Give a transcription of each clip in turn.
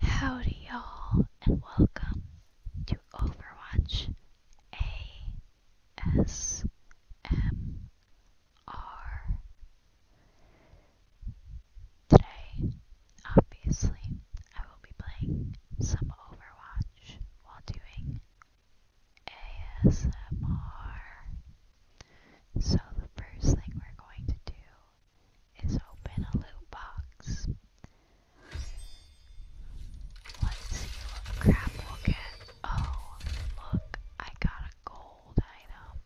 Howdy y'all and welcome to Overwatch ASMR. Today, obviously, I will be playing some Overwatch while doing ASMR. So, the first thing we're going to do is open a loot box. Let's see what crap we'll get. Oh, look, I got a gold item.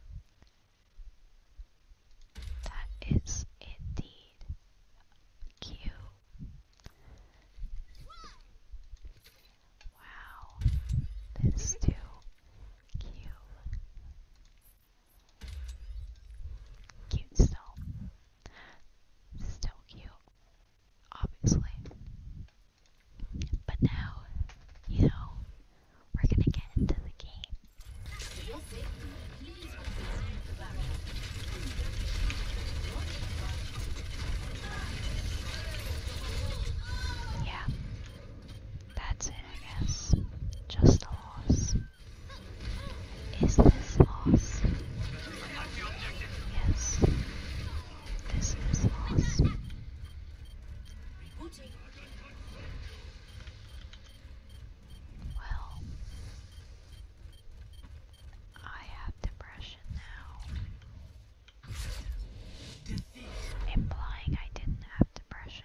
That is indeed cute. Wow, this too cute. Cute still. Still cute. Obviously. But now, you know, we're gonna get into the game. Yeah, that's it, I guess. Just a loss. Is this loss? Yes. This is loss. Well, I have depression now. Implying I didn't have depression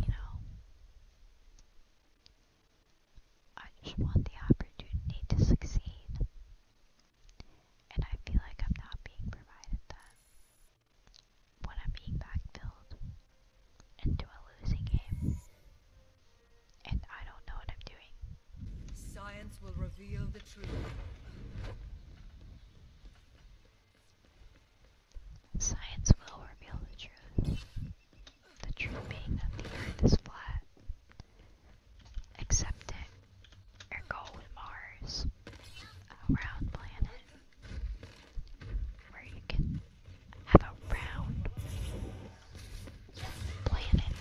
You know, I just want the opportunity to succeed, and I feel like I'm not being provided that. When I'm being backfilled into a losing game, and I don't know what I'm doing. Science will reveal the truth. Science will reveal the truth. The truth being that the Earth is flat. Accept it, or go with Mars, a round planet, where you can have a round planet.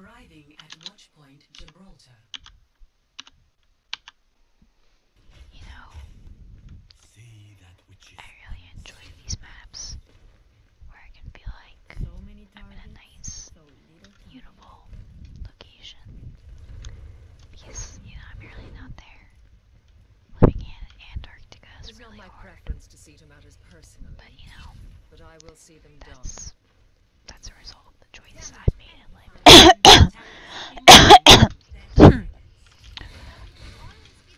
Arriving at Watchpoint Gibraltar. You know. See that I really enjoy these maps where I can feel like I'm in a nice, beautiful location because you know I'm really not there. Living in Antarctica it's really hard. to see to matters personally, but you know, but I will see them that's that's a result of the choices I've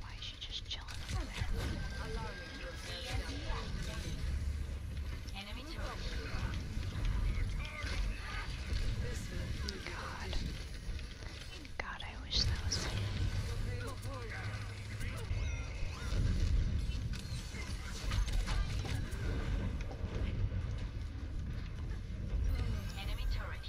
Why is she just chilling over there? God. God, I wish that was me. Enemy turret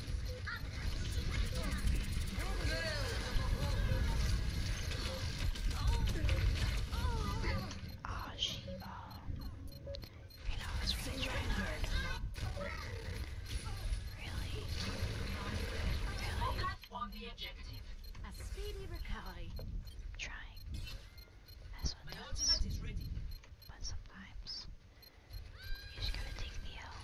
Oh, she, You know, I really trying hard. Really? Really? Won the objective. A speedy recovery. Trying. That's what My ultimate is ready. But sometimes you just gotta take the L.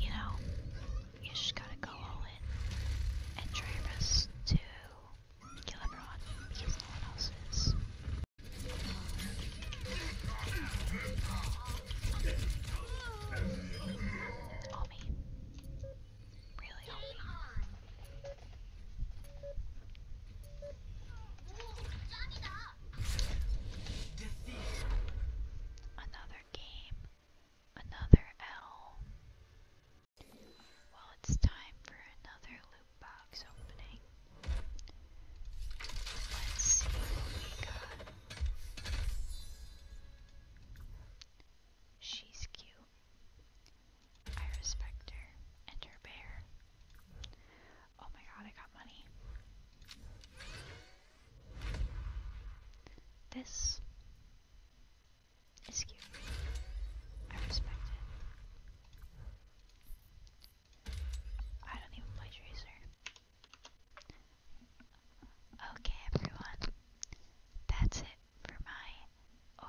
You know, you just gotta go all in and try your to kill because no one else is. All me. Really all me. Another game. Another L. Well, it's time for another loot box opening. Let's see what we got. She's cute. I respect her and her bear. Oh my god, I got money. This is cute. I respect it. I don't even play Tracer. Okay, everyone. That's it for my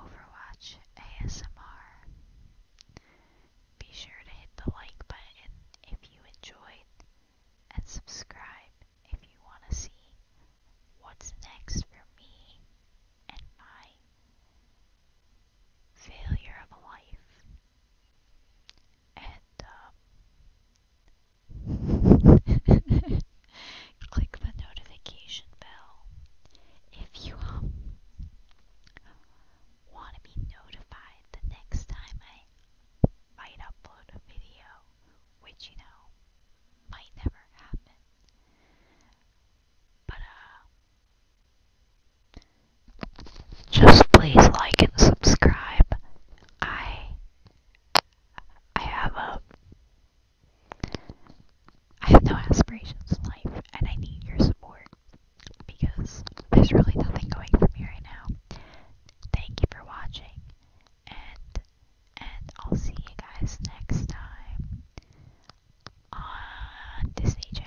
Overwatch ASMR. Be sure to hit the like button if you enjoyed and subscribe if you want to see what's next for me and my failure of a life. And, um, click the notification bell if you, um, want to be notified the next time I might upload a video, which you know might never happen. But, uh, just please like and subscribe. I, I have a, I have no aspirations in life, and I need your support because there's really nothing going for me right now. Thank you for watching, and and I'll see you guys next time on Disney Channel.